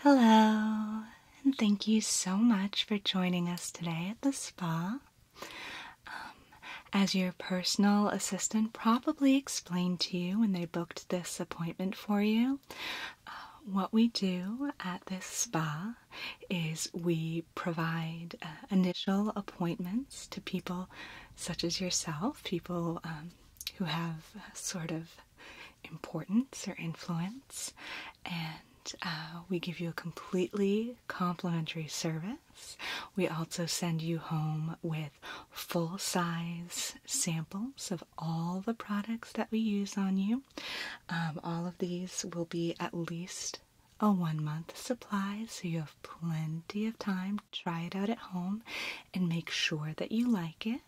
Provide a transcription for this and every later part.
Hello, and thank you so much for joining us today at the spa. Um, as your personal assistant probably explained to you when they booked this appointment for you, uh, what we do at this spa is we provide uh, initial appointments to people such as yourself, people um, who have sort of importance or influence, and uh, we give you a completely complimentary service. We also send you home with full size samples of all the products that we use on you um, all of these will be at least a one month supply, so you have plenty of time. to Try it out at home and make sure that you like it.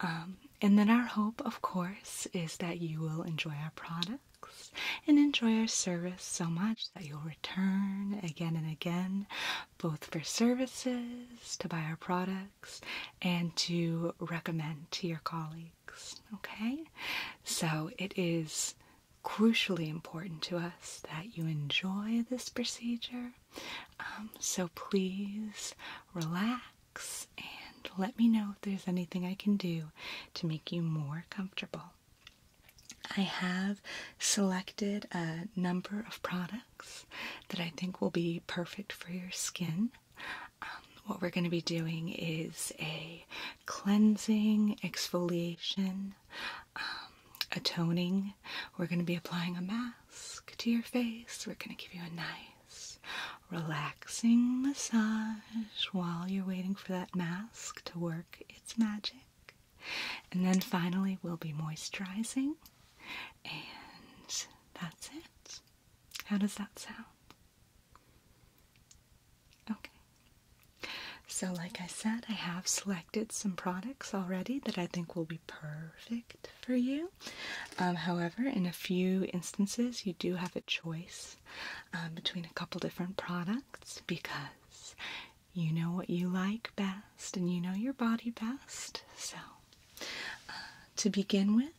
Um, and then, our hope, of course, is that you will enjoy our products and enjoy our service so much that you'll return again and again, both for services, to buy our products, and to recommend to your colleagues okay? So it is crucially important to us that you enjoy this procedure. Um, so please relax and let me know if there's anything I can do to make you more comfortable. I have selected a number of products that I think will be perfect for your skin. Um, what we're going to be doing is a cleansing, exfoliation, um, a toning. We're going to be applying a mask to your face. We're going to give you a nice, relaxing massage while you're waiting for that mask to work its magic. And then finally, we'll be moisturizing, and that's it. How does that sound? Okay. So, like I said, I have selected some products already that I think will be perfect for you. Um, however, in a few instances, you do have a choice um, between a couple different products because you know what you like best and you know your body best. So, uh, to begin with,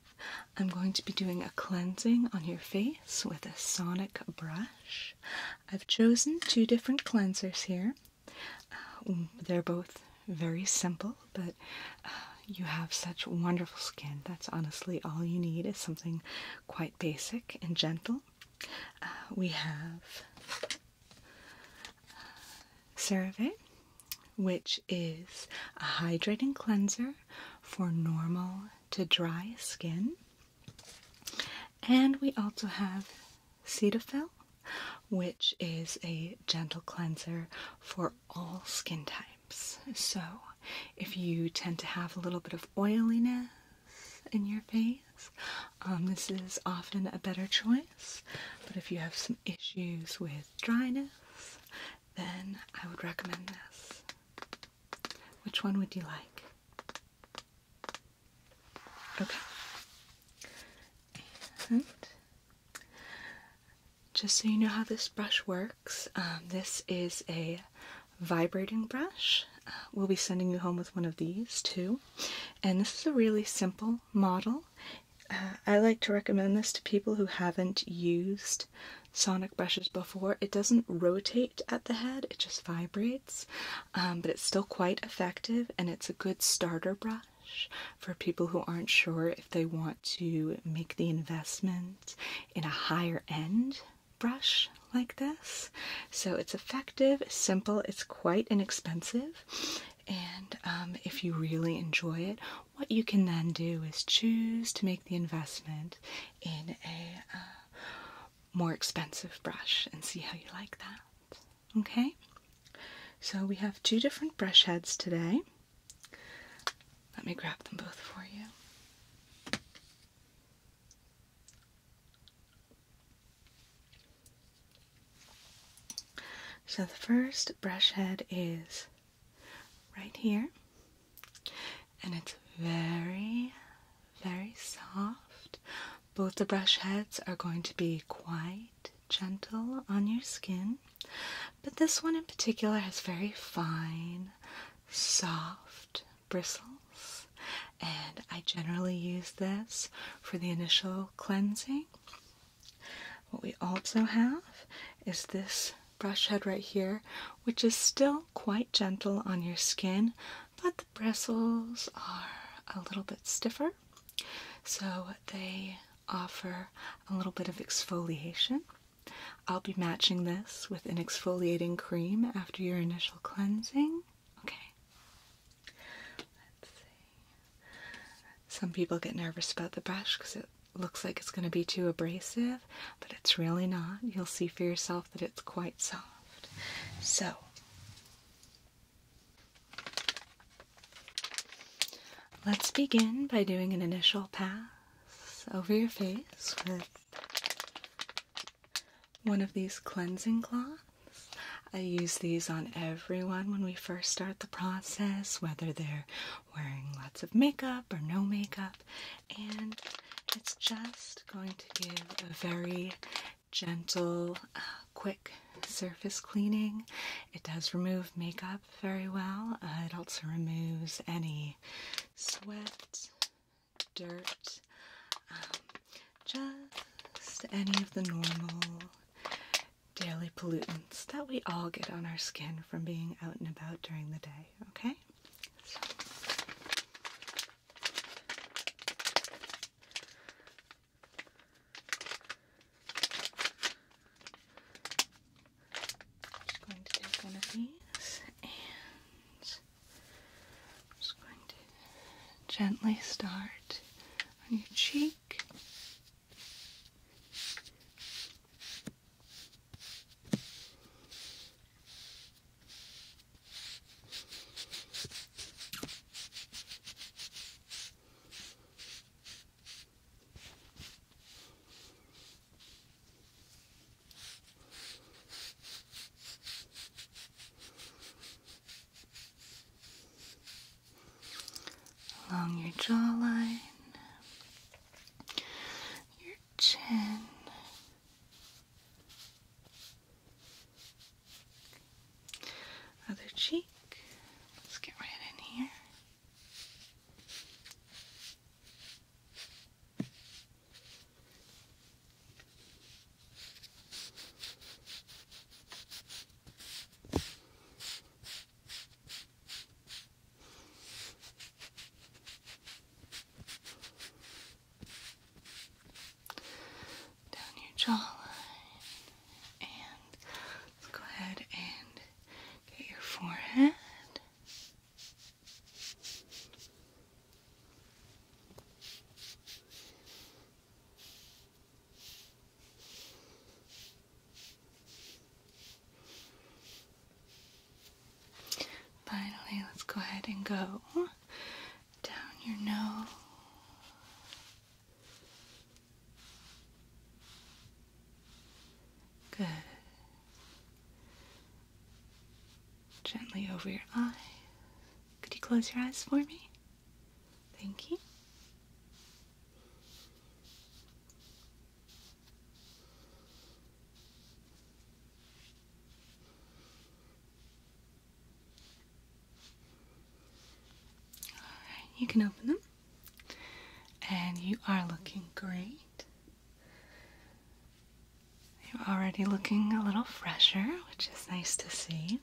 I'm going to be doing a cleansing on your face with a sonic brush. I've chosen two different cleansers here. Uh, they're both very simple, but uh, you have such wonderful skin. That's honestly all you need is something quite basic and gentle. Uh, we have CeraVe, which is a hydrating cleanser for normal to dry skin. And we also have Cetaphil, which is a gentle cleanser for all skin types. So, if you tend to have a little bit of oiliness in your face, um, this is often a better choice. But if you have some issues with dryness, then I would recommend this. Which one would you like? Okay. And just so you know how this brush works, um, this is a vibrating brush. Uh, we'll be sending you home with one of these too. And this is a really simple model. Uh, I like to recommend this to people who haven't used sonic brushes before, it doesn't rotate at the head, it just vibrates, um, but it's still quite effective and it's a good starter brush for people who aren't sure if they want to make the investment in a higher end brush like this. So it's effective, simple, it's quite inexpensive. And um, if you really enjoy it, what you can then do is choose to make the investment in a uh, more expensive brush and see how you like that. Okay, so we have two different brush heads today. Let me grab them both for you. So the first brush head is right here, and it's very, very soft. Both the brush heads are going to be quite gentle on your skin, but this one in particular has very fine, soft bristles, and I generally use this for the initial cleansing. What we also have is this brush head right here, which is still quite gentle on your skin, but the bristles are a little bit stiffer, so they offer a little bit of exfoliation. I'll be matching this with an exfoliating cream after your initial cleansing. Okay. Let's see. Some people get nervous about the brush because it looks like it's going to be too abrasive, but it's really not. You'll see for yourself that it's quite soft. So, let's begin by doing an initial pass over your face with one of these cleansing cloths. I use these on everyone when we first start the process, whether they're wearing lots of makeup or no makeup and it's just going to give a very gentle, uh, quick surface cleaning. It does remove makeup very well, uh, it also removes any sweat, dirt, um, just any of the normal daily pollutants that we all get on our skin from being out and about during the day, okay? just going to take one of these and just going to gently start on your cheek Along your jawline, your chin, other cheek. Let's get right in here down your jawline, and let's go ahead and get your forehead. Finally, let's go ahead and go down your nose. Good. Gently over your eyes. Could you close your eyes for me? Thank you you can open them. And you are looking great. You're already looking a little fresher, which is nice to see.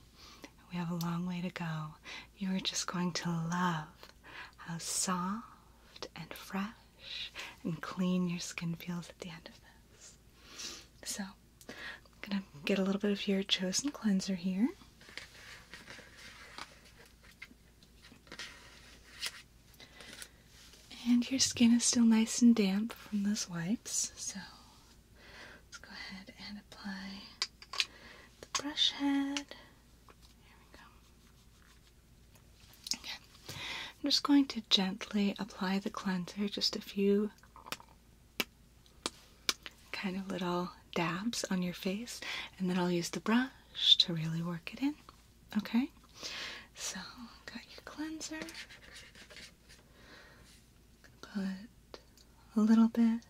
We have a long way to go. You are just going to love how soft and fresh and clean your skin feels at the end of this. So, I'm gonna get a little bit of your chosen cleanser here. And your skin is still nice and damp from those wipes, so let's go ahead and apply the brush head. There we go. I'm just going to gently apply the cleanser, just a few kind of little dabs on your face, and then I'll use the brush to really work it in. Okay? So, got your cleanser. Put a little bit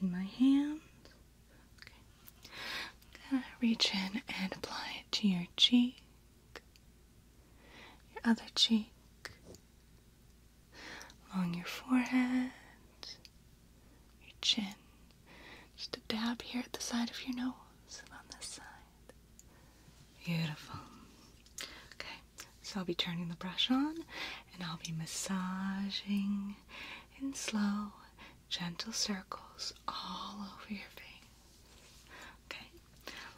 in my hand. Okay. gonna reach in and apply it to your cheek your other cheek, along your forehead, your chin, just a dab here at the side of your nose on this side. Beautiful. Okay, so I'll be turning the brush on and I'll be massaging in slow, gentle circles all over your face. Okay,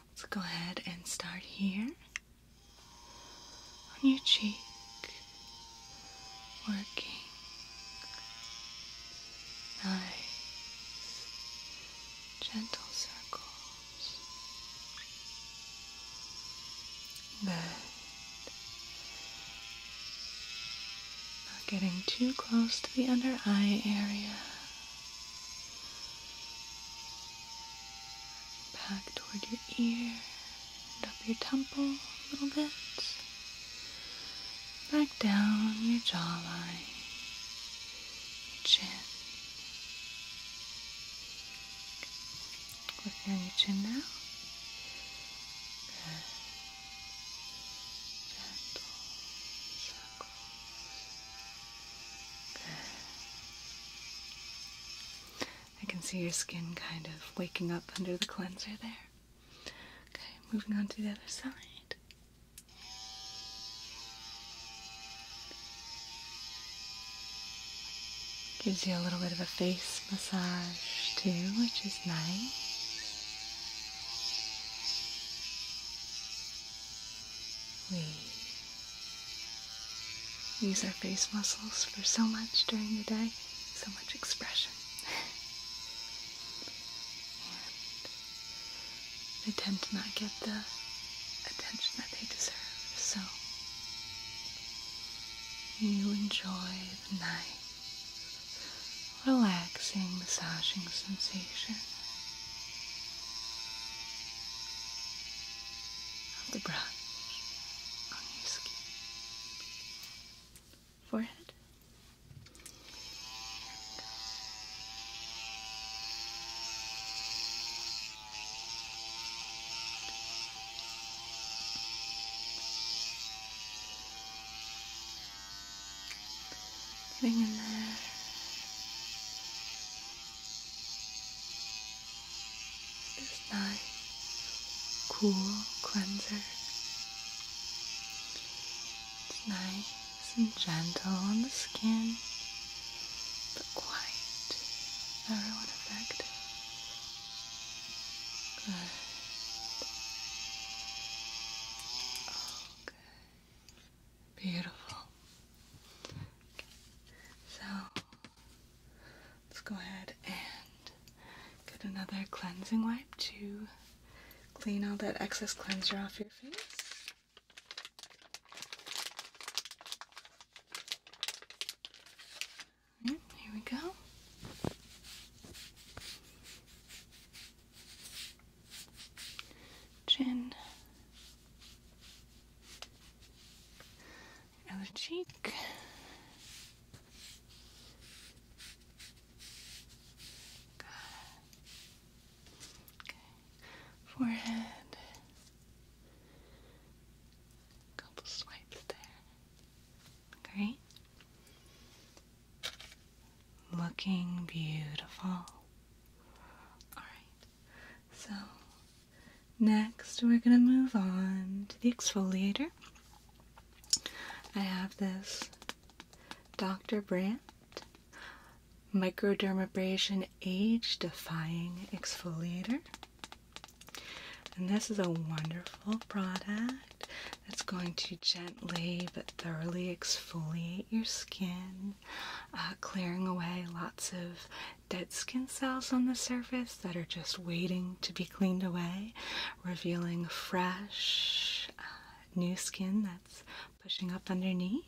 Let's go ahead and start here on your cheek, working. Nice, gentle circles. But Not getting too close to the under eye area. Back toward your ear and up your temple a little bit. Back down your jawline, your chin. Look your chin now. Gentle. I can see your skin kind of waking up under the cleanser there. Okay, moving on to the other side. Gives you a little bit of a face massage too, which is nice. We use our face muscles for so much during the day, so much expression. and they tend to not get the attention that they deserve, so you enjoy the night, relaxing, massaging sensation of the brush on your skin, forehead. Getting nice, cool cleanser. It's nice and gentle on the skin, but quite everyone effective. Good. Oh, good. Beautiful. So let's go ahead and get another cleansing wipe to clean all that excess cleanser off your face. Right, mm, here we go chin, other cheek. Forehead. Couple swipes there. Great. Looking beautiful. All right. So, next we're going to move on to the exfoliator. I have this Dr. Brandt Microdermabrasion Age Defying Exfoliator. And this is a wonderful product that's going to gently but thoroughly exfoliate your skin uh, clearing away lots of dead skin cells on the surface that are just waiting to be cleaned away, revealing fresh, uh, new skin that's pushing up underneath.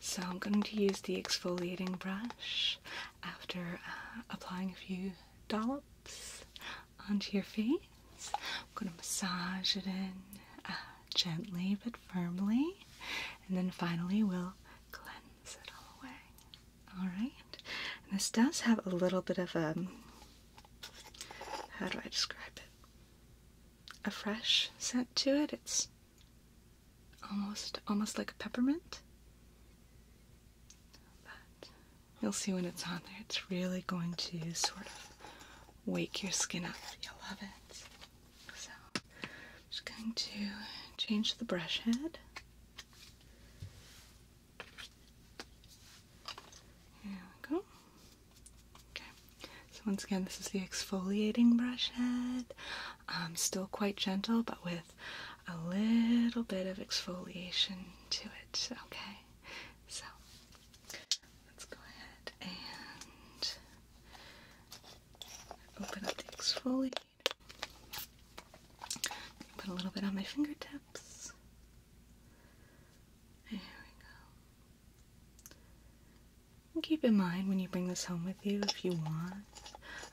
So, I'm going to use the exfoliating brush after uh, applying a few dollops onto your face. I'm going to massage it in gently but firmly and then finally we'll cleanse it all away. Alright? this does have a little bit of a um, how do I describe it? A fresh scent to it. It's almost almost like a peppermint. But you'll see when it's on there, it's really going to sort of wake your skin up. You'll love it. So I'm just going to change the brush head. Here we go. Okay. So once again, this is the exfoliating brush head. Um, still quite gentle, but with a little bit of exfoliation to it. Okay. So let's go ahead and open up the exfoliator. Put a little bit on my fingertips. There we go. keep in mind when you bring this home with you, if you want,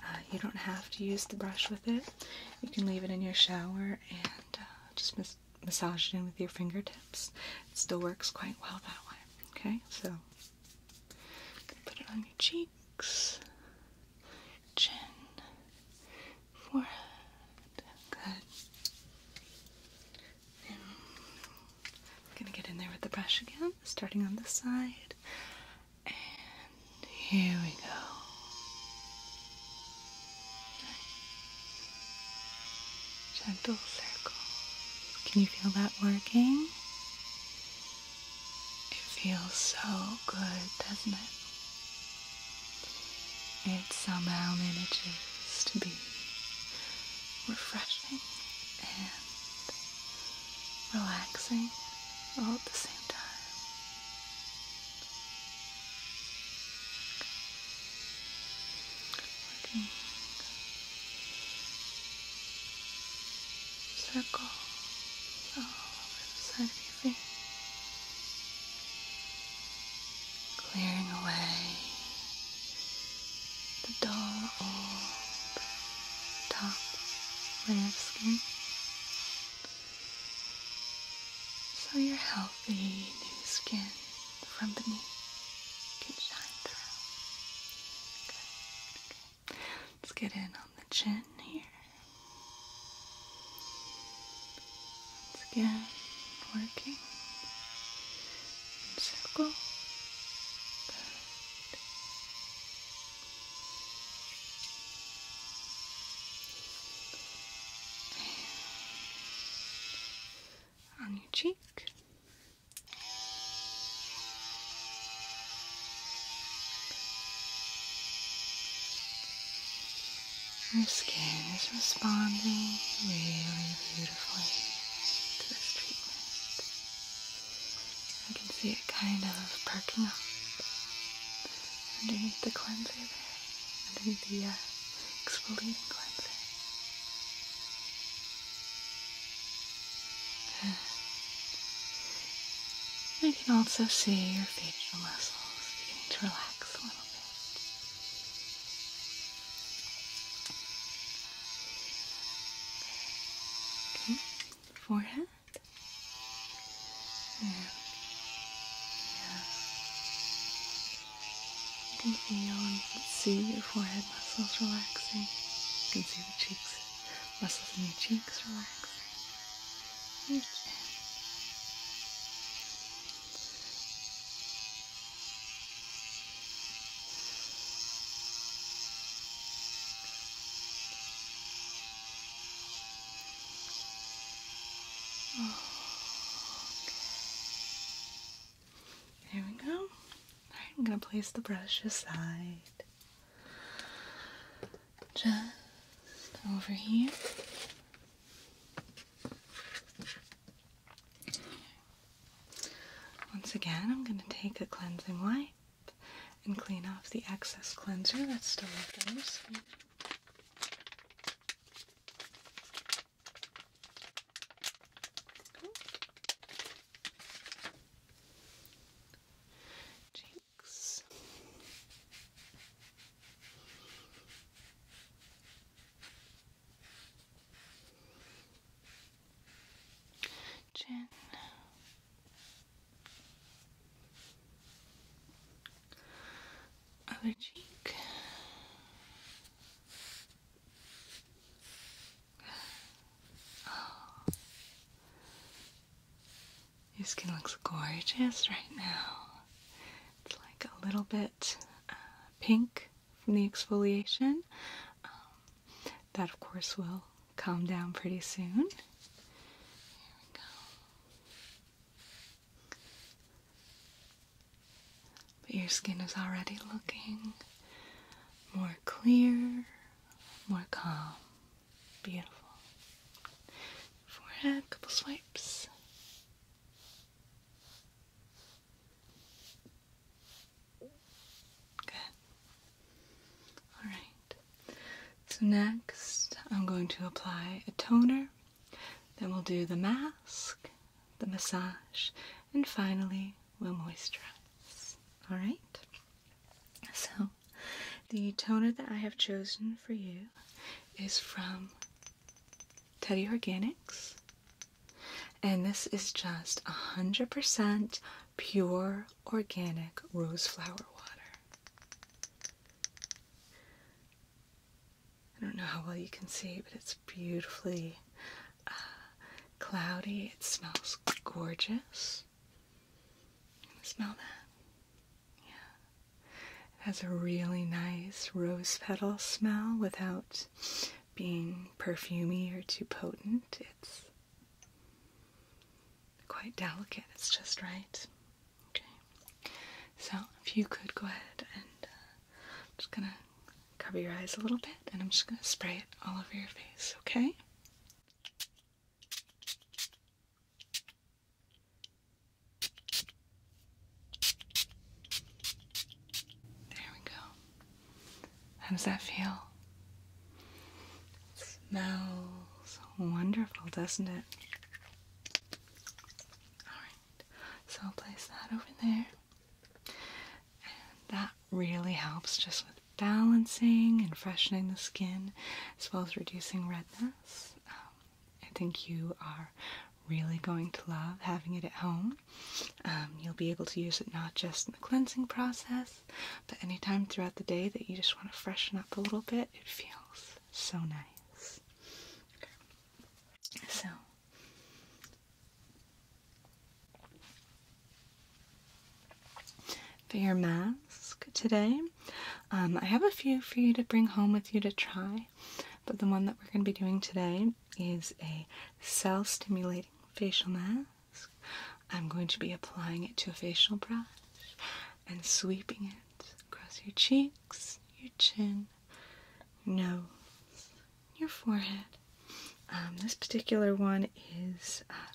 uh, you don't have to use the brush with it. You can leave it in your shower and uh, just massage it in with your fingertips. It still works quite well that way. Okay, so Put it on your cheeks, chin, forehead. Good. And I'm gonna get in there with the brush again, starting on this side. And here we go gentle circle. Can you feel that working? It feels so good, doesn't it? It somehow manages to be refreshing and relaxing all at the same time. Working Circle all over the side of your face, clearing away the dull old top layer of skin. So your healthy new skin from beneath can shine through. Let's get in on the chin here. Once again, working in circle. Good. on your cheek. Your skin is responding really beautifully to this treatment. I can see it kind of perking up underneath the cleanser there, underneath the uh, exfoliating cleanser. Good. I can also see your facial muscles beginning to relax a little bit. Forehead. Yeah. You can see your forehead forehead muscles relaxing. You can see the cheeks, muscles in your cheeks relaxing. Your chin. Oh, okay. There we go. I'm going to place the brush aside. Just over here. Once again, I'm going to take a cleansing wipe and clean off the excess cleanser that's still left on your skin cheeks. Chin, other cheek, your skin looks gorgeous right now. It's like a little bit uh, pink from the exfoliation. Um, that, of course, will calm down pretty soon. But your skin is already looking more clear, more calm. Beautiful. Forehead, couple swipes. Good. Alright. So next I'm going to apply a toner. Then we'll do the mask, the massage, and finally we'll moisturize. All right. So, the toner that I have chosen for you is from Teddy Organics, and this is just 100% pure organic rose flower water. I don't know how well you can see, but it's beautifully uh, cloudy. It smells gorgeous. You smell that? Yeah. It has a really nice rose petal smell without being perfumey or too potent. It's quite delicate. It's just right. Okay. So if you could go ahead and uh, just gonna cover your eyes a little bit, and I'm just gonna spray it all over your face. Okay. There we go. How does that feel? smells wonderful, doesn't it? Alright, so I'll place that over there. And that really helps just with balancing and freshening the skin as well as reducing redness. Um, I think you are really going to love having it at home. Um, you'll be able to use it not just in the cleansing process, but anytime throughout the day that you just want to freshen up a little bit, it feels so nice. So, for your mask today. Um, I have a few for you to bring home with you to try, but the one that we're going to be doing today is a cell stimulating facial mask. I'm going to be applying it to a facial brush and sweeping it across your cheeks, your chin, no, your forehead, um, this particular one is uh,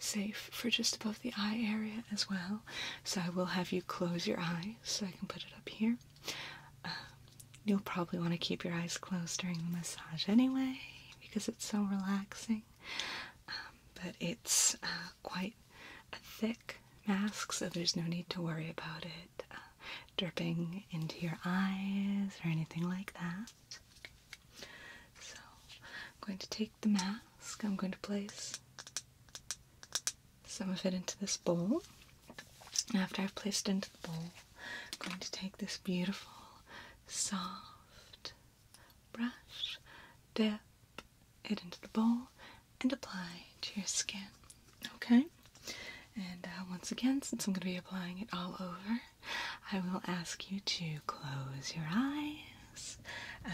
safe for just above the eye area as well, so I will have you close your eyes so I can put it up here. Uh, you'll probably want to keep your eyes closed during the massage anyway because it's so relaxing, um, but it's uh, quite a thick mask, so there's no need to worry about it dripping into your eyes or anything like that. So I'm going to take the mask, I'm going to place some of it into this bowl. After I've placed it into the bowl, I'm going to take this beautiful, soft brush, dip it into the bowl, and apply to your skin. Okay? And uh, once again, since I'm going to be applying it all over, I will ask you to close your eyes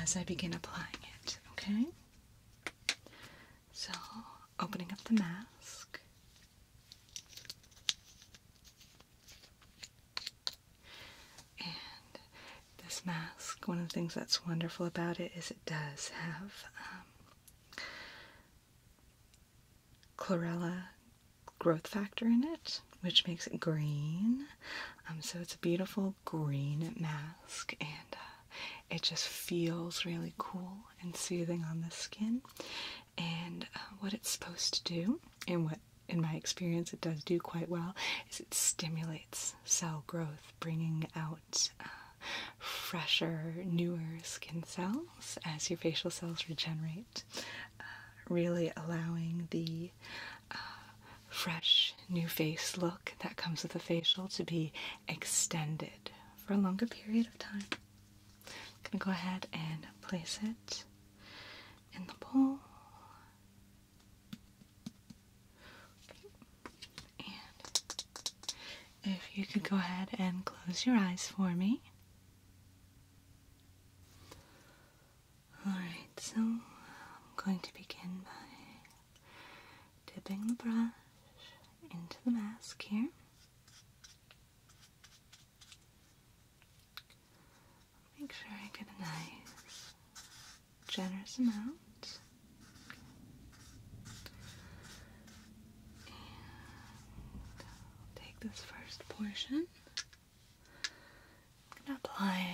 as I begin applying it, okay? So, opening up the mask. And this mask, one of the things that's wonderful about it is it does have um, chlorella growth factor in it, which makes it green. Um, so it's a beautiful green mask, and uh, it just feels really cool and soothing on the skin. And uh, what it's supposed to do, and what in my experience it does do quite well, is it stimulates cell growth, bringing out. Uh, fresher, newer skin cells as your facial cells regenerate uh, really allowing the uh, fresh new face look that comes with a facial to be extended for a longer period of time. I'm going to go ahead and place it in the bowl. And if you could go ahead and close your eyes for me. Alright, so I'm going to begin by dipping the brush into the mask here. Make sure I get a nice, generous amount. take this first portion. I'm going to apply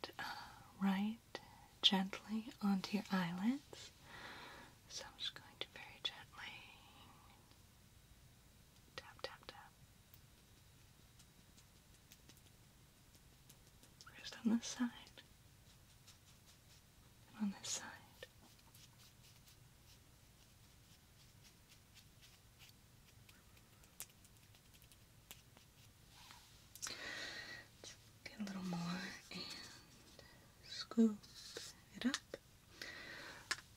it uh, right gently onto your eyelids. So I'm just going to very gently tap, tap, tap. First on this side. And on this side get a little more and scoop it up.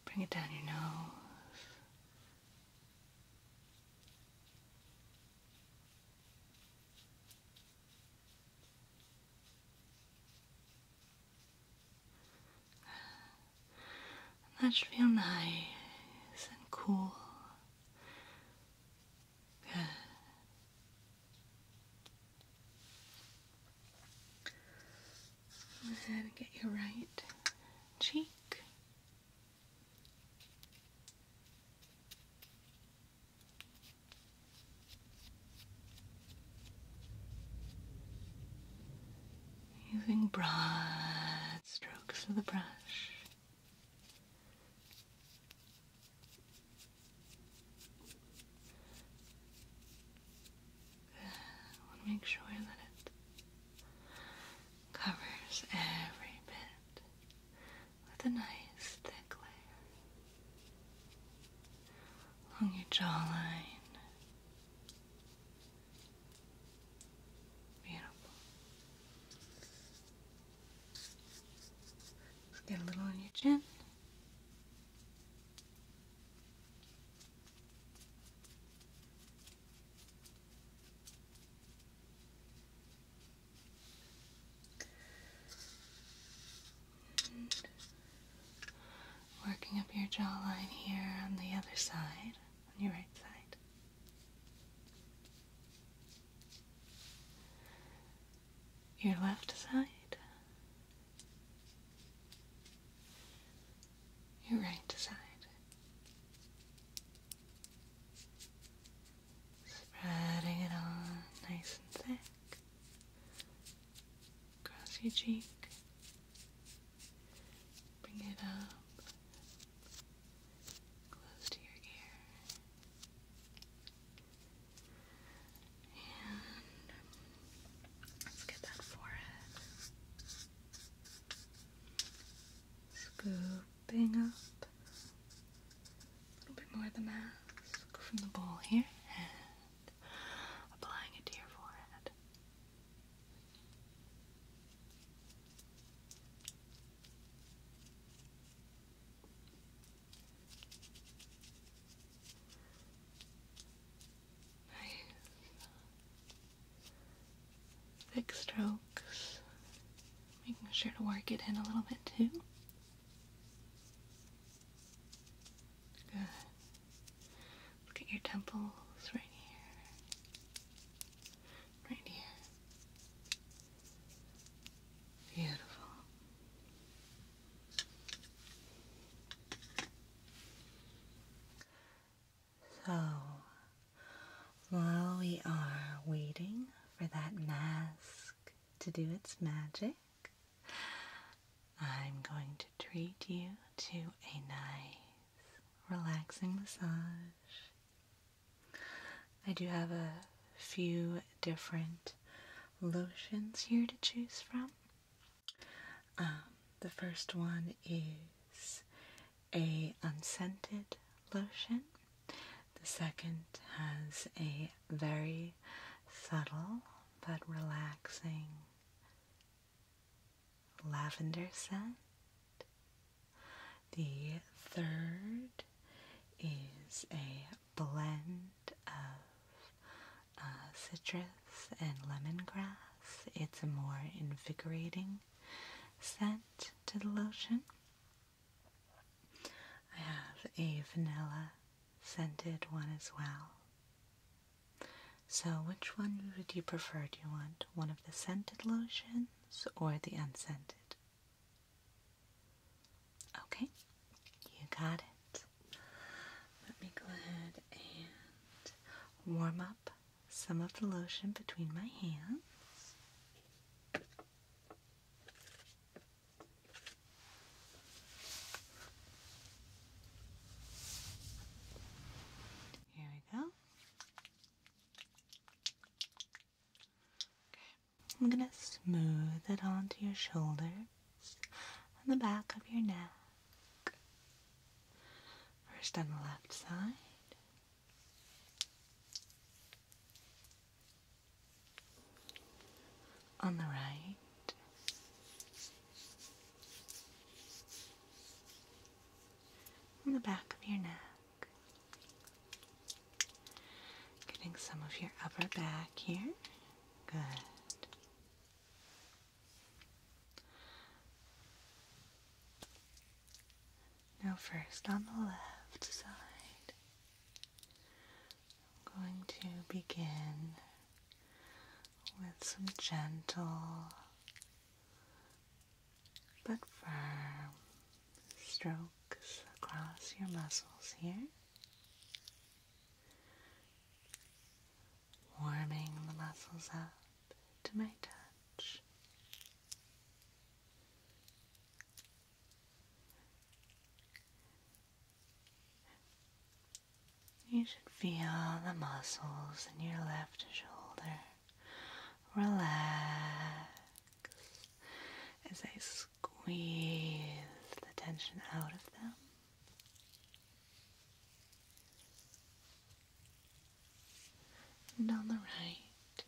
Bring it down your nose. That should feel nice and cool. Go ahead and get your right cheek. Using broad strokes of the brush. I want to make sure that it covers every bit with a nice thick layer along your jawline. Beautiful. get a little on your chin. working up your jawline here on the other side, on your right side your left side, your right side. Spreading it on nice and thick across your cheek, Bring it up close to your ear. And let's get that forehead. Scooping up a little bit more of the mask from the bowl here and applying it to your forehead. Nice. Thick strokes. Making sure to work it in a little bit too. Good. Look your temples right here. Right here. Beautiful. So, while we are waiting for that mask to do its magic, I'm going to treat you to a nice, relaxing massage I do have a few different lotions here to choose from. Um, the first one is a unscented lotion. The second has a very subtle but relaxing lavender scent. The third is a blend of uh, citrus and lemongrass. It's a more invigorating scent to the lotion. I have a vanilla scented one as well. So which one would you prefer? Do you want one of the scented lotions or the unscented. Okay, you got it. Let me go ahead and warm up some of the lotion between my hands. Here we go. I'm going to smooth it onto your shoulders and the back of your neck. First on the left side. On the right. On the back of your neck. Getting some of your upper back here. Good. Now, first on the left side, I'm going to begin with some gentle but firm strokes across your muscles here, warming the muscles up to my touch. You should feel the muscles in your left shoulder relax as I squeeze the tension out of them. And on the right,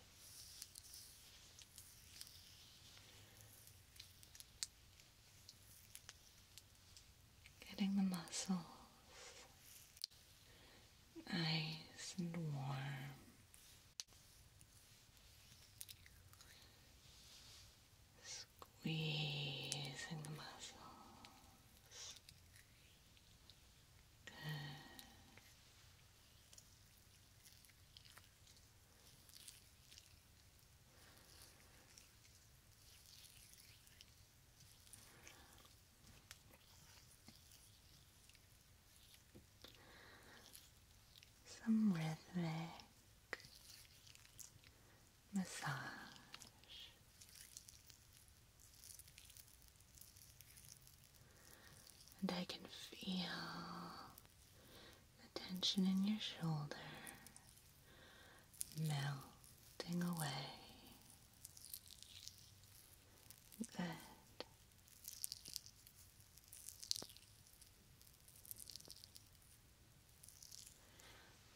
getting the muscles nice and warm Squeezing the muscles. Good some rhythmic massage. And I can feel the tension in your shoulder melting away. Good.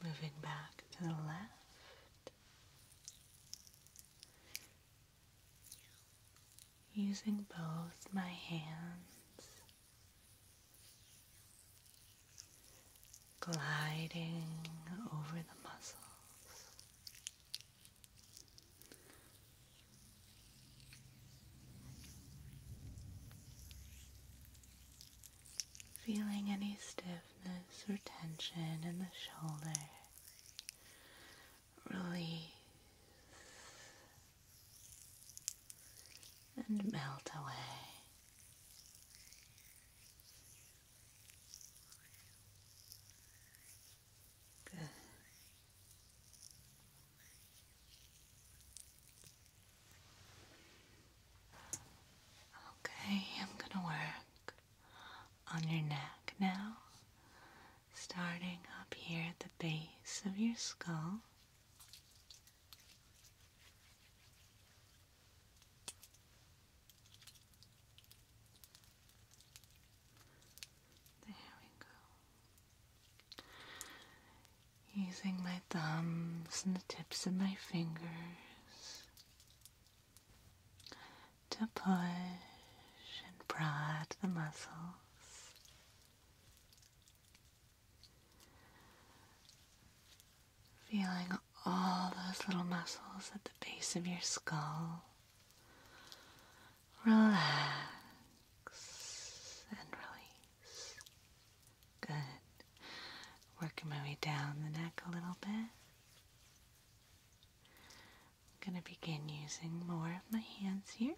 Moving back to the left, using both my hands, gliding over the muscles Feeling any stiffness or tension in the shoulder. Release and melt away. Okay, I'm gonna work on your neck now, starting up here at the base of your skull. There we go. Using my thumbs and the tips of my fingers to push and prod the muscles. Feeling all those little muscles at the base of your skull Relax and release. Good. Working my way down the neck a little bit. I'm going to begin using more of my hands here.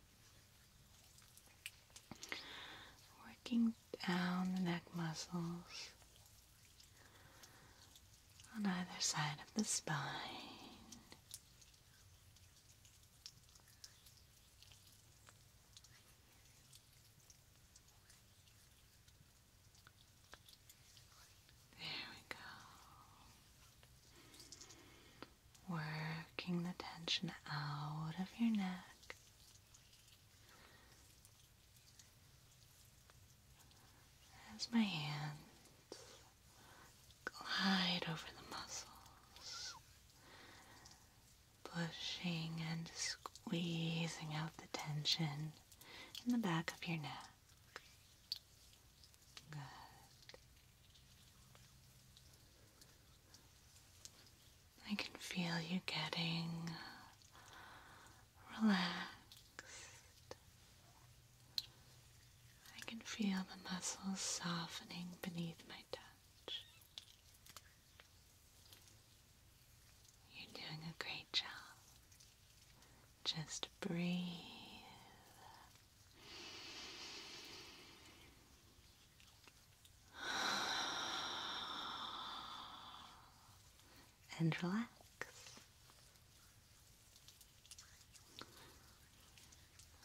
Working down the neck muscles on either side of the spine. There we go. Working the tension out of your neck. As my hand. Glide over the muscles, pushing and squeezing out the tension in the back of your neck. I can feel you getting relaxed I can feel the muscles softening beneath my touch. You're doing a great job. Just breathe. And relax.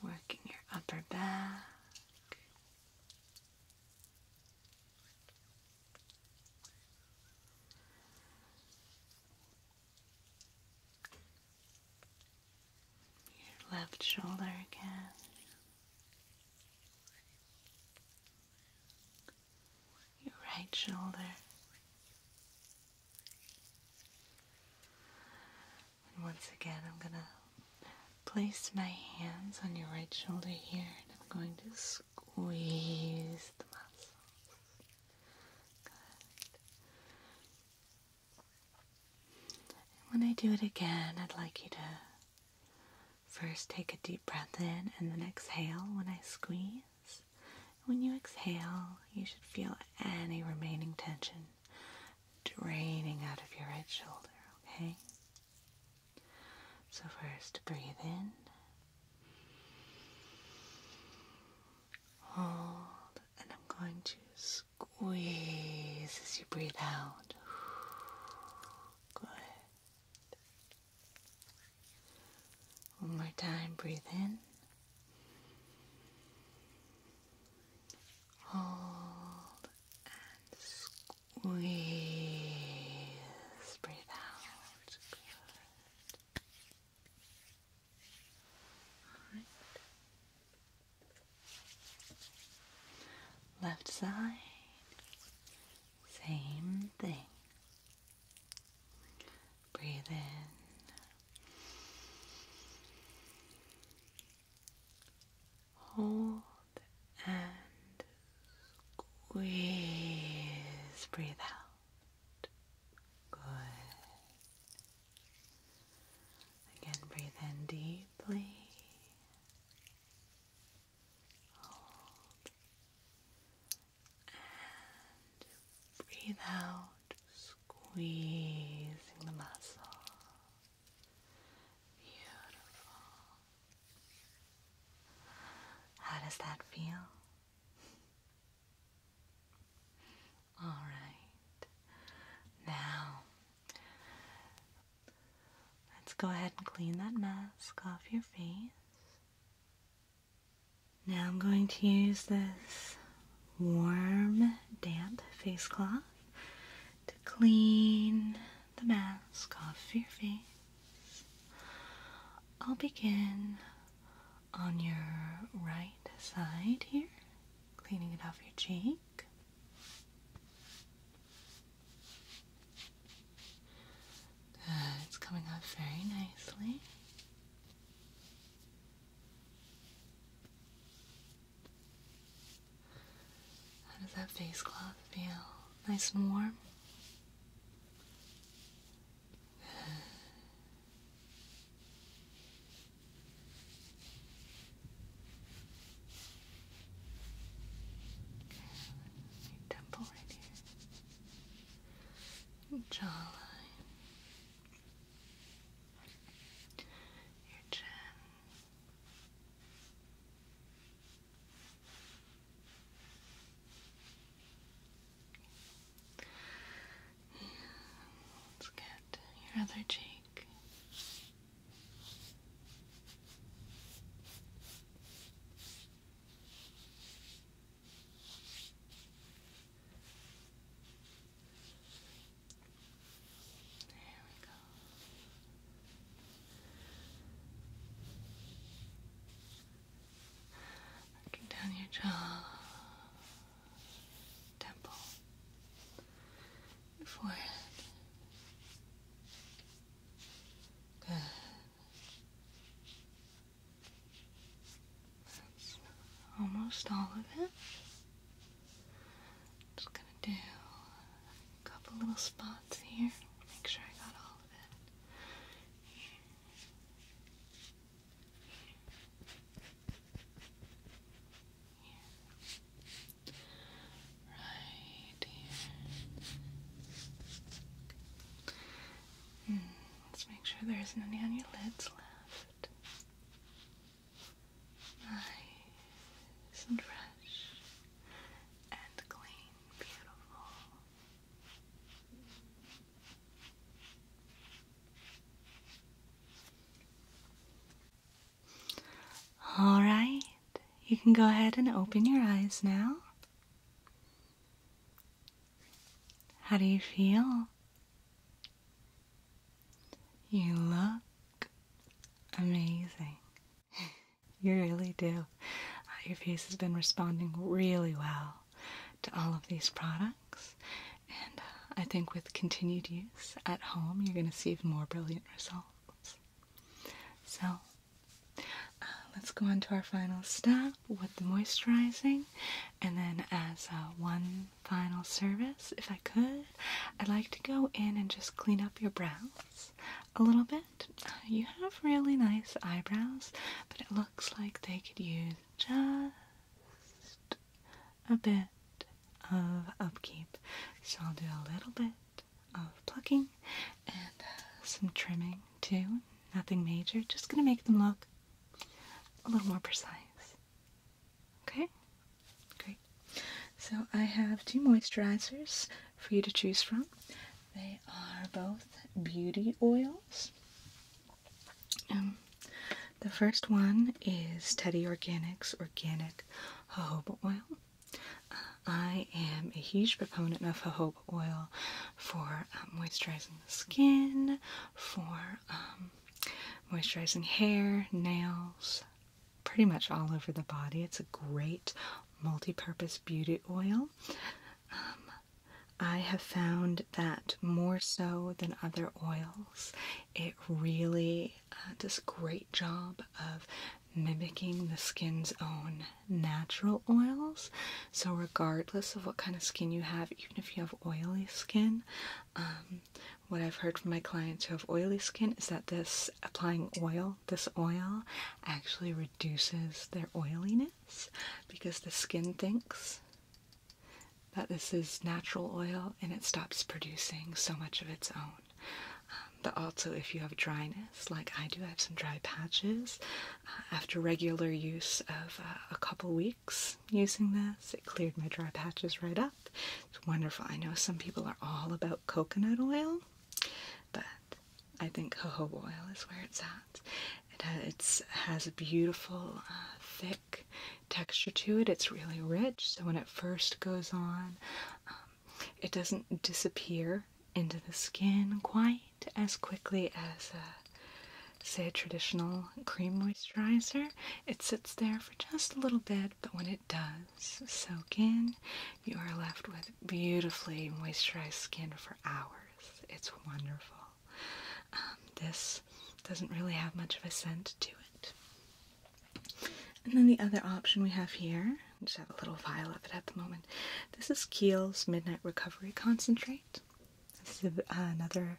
Working your upper back. Your left shoulder again. Your right shoulder. And once again, I'm going to place my hands on your right shoulder here and I'm going to squeeze the muscles. when I do it again, I'd like you to first take a deep breath in and then exhale when I squeeze. When you exhale, you should feel any remaining tension draining out of your right shoulder, okay? So, first breathe in, hold, and I'm going to squeeze as you breathe out. Good. One more time, breathe in. Hold and squeeze. Breathe out. Good. All right. Left side, same thing. Breathe in, Hold and squeeze. Breathe out. Good. Again, breathe in deeply. Hold and breathe out squeezing the muscle. Beautiful. How does that feel? All right. Now, let's go ahead and clean that mask off your face. Now I'm going to use this warm, damp face cloth to clean the mask off your face. I'll begin on your right side here, cleaning it off your cheek. it's coming off very nicely. How does that face cloth feel? Nice and warm? Your temple right here. Jawline your Let's get your other cheek. There we go. Looking down your jaw, temple, forehead. Good. almost all of it. Just gonna do a couple little spots here. Make sure I got all of it. Right here. Hmm, let's make sure there isn't on your lids left. Nice and fresh and clean, beautiful. All right, you can go ahead and open your eyes now. How do you feel? You look Amazing. You really do. Uh, your face has been responding really well to all of these products, and uh, I think with continued use at home, you're going to see even more brilliant results. So, uh, let's go on to our final step with the moisturizing, and then as uh, one final service, if I could, I'd like to go in and just clean up your brows a little bit. You have really nice eyebrows, but it looks like they could use just a bit of upkeep. So I'll do a little bit of plucking and uh, some trimming too. Nothing major, just gonna make them look a little more precise. Okay? Great. So I have two moisturizers for you to choose from. They are both beauty oils. Um, the first one is Teddy Organics Organic Jojoba Oil. Uh, I am a huge proponent of jojoba oil for um, moisturizing the skin, for um, moisturizing hair, nails, pretty much all over the body. It's a great multi-purpose beauty oil. Um, I have found that more so than other oils, it really uh, does a great job of mimicking the skin's own natural oils. So regardless of what kind of skin you have, even if you have oily skin, um, what I've heard from my clients who have oily skin is that this applying oil, this oil, actually reduces their oiliness because the skin thinks that this is natural oil and it stops producing so much of its own. Um, but also, if you have dryness, like I do, I have some dry patches. Uh, after regular use of uh, a couple weeks using this, it cleared my dry patches right up. It's wonderful. I know some people are all about coconut oil, but I think jojoba oil is where it's at. It has, a beautiful, uh, thick texture to it. It's really rich, so when it first goes on, um, it doesn't disappear into the skin quite as quickly as, say, a traditional cream moisturizer. It sits there for just a little bit, but when it does soak in, you are left with beautifully moisturized skin for hours. It's wonderful. Um, this doesn't really have much of a scent to it. And then the other option we have here, I just have a little vial of it at the moment. This is Kiehl's Midnight Recovery Concentrate. This is another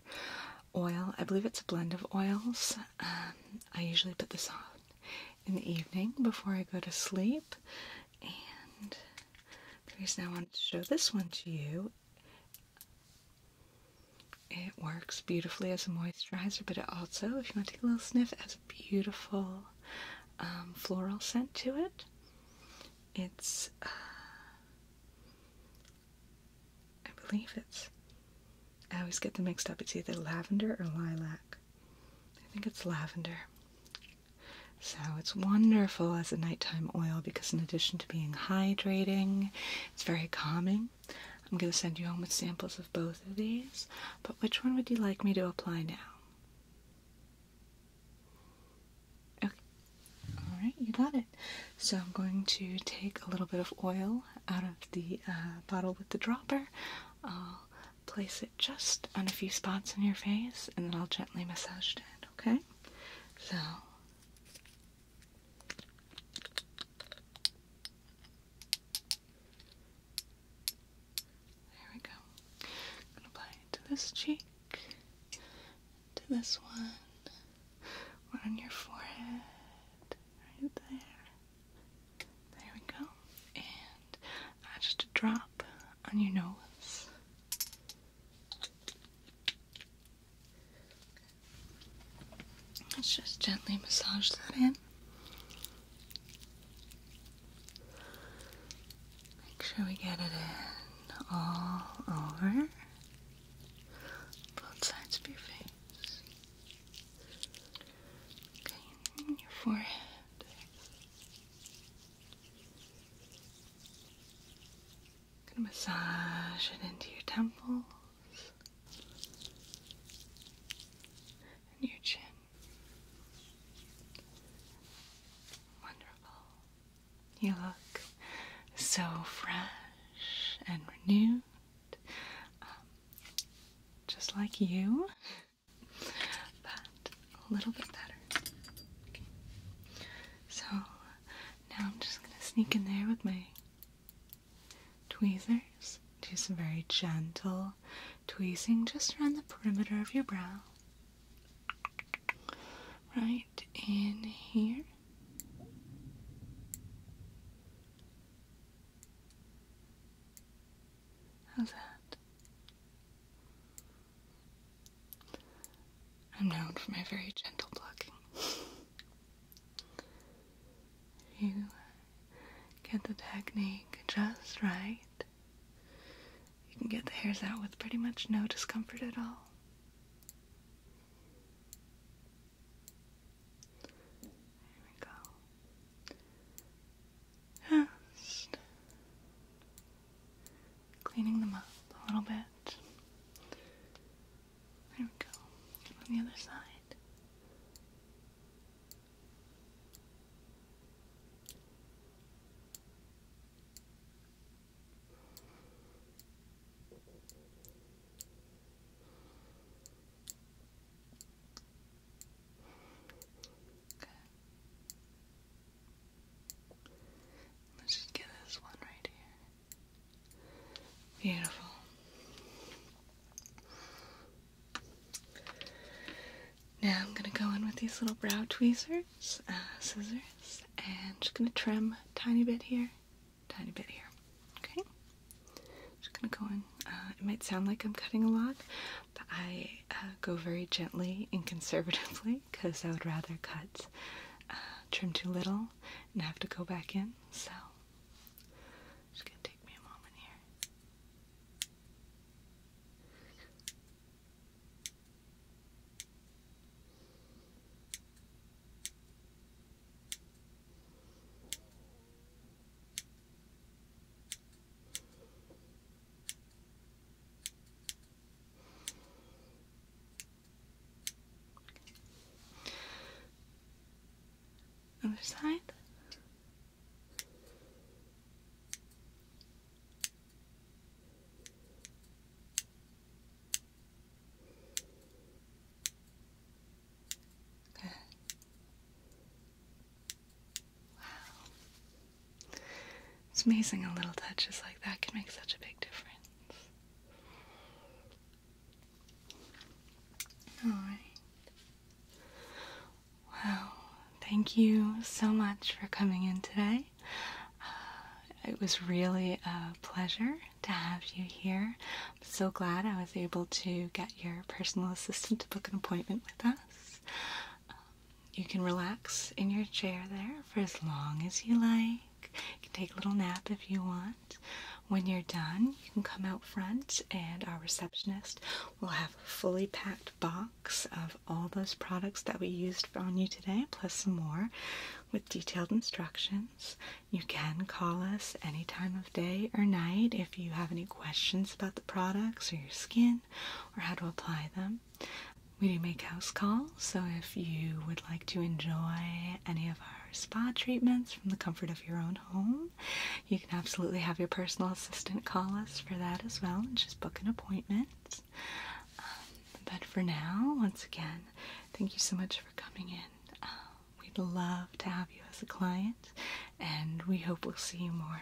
oil. I believe it's a blend of oils. Um, I usually put this on in the evening before I go to sleep, and the reason I wanted to show this one to you. It works beautifully as a moisturizer, but it also, if you want to take a little sniff, has a beautiful um, floral scent to it. It's uh, I believe it's. I always get them mixed up. It's either lavender or lilac. I think it's lavender. So it's wonderful as a nighttime oil because, in addition to being hydrating, it's very calming. I'm going to send you home with samples of both of these, but which one would you like me to apply now? Okay, alright, you got it. So I'm going to take a little bit of oil out of the uh, bottle with the drop. I'll place it just on a few spots in your face and then I'll gently massage it, okay? So. There we go. gonna apply it to this cheek, to this one, one on your forehead, right there. There we go. And uh, just a drop on your nose. Let's just gently massage that in. Make sure we get it in all over both sides of your face and Gonna massage it into your temples and your chin. Wonderful. You look so fresh and renewed. Um, just like you, but a little bit better. So now I'm just going to sneak in there with my tweezers. Do some very gentle tweezing just around the perimeter of your brow. Right in here. How's that? I'm known for my very gentle plucking. if you get the technique just right, you can get the hairs out with pretty much no discomfort at all. There we go. Just cleaning them up a little bit. There we go. on the other side. Let's just get this one right here. Beautiful. Now I'm going to go in with these little brow tweezers, uh, scissors, and just going to trim tiny bit here, tiny bit here. Okay. Just gonna go in. Uh, it might sound like I'm cutting a lot, but I uh, go very gently and conservatively because I would rather cut, uh, trim too little, and have to go back in. So, just gonna take me a moment here. Other side. Good. Wow. It's amazing A little touch is like that can make such a big difference. Alright. Well, thank you so much for coming in today. Uh, it was really a pleasure to have you here so glad I was able to get your personal assistant to book an appointment with us. Um, you can relax in your chair there for as long as you like. You can take a little nap if you want. When you're done, you can come out front, and our receptionist will have a fully packed box of all those products that we used on you today, plus some more with detailed instructions. You can call us any time of day or night if if you have any questions about the products or your skin or how to apply them. We do make house calls, so if you would like to enjoy any of our spa treatments from the comfort of your own home, you can absolutely have your personal assistant call us for that as well and just book an appointment. Um, but for now, once again, thank you so much for coming in. Um, We'd love to have you as a client, and we hope we'll see you more.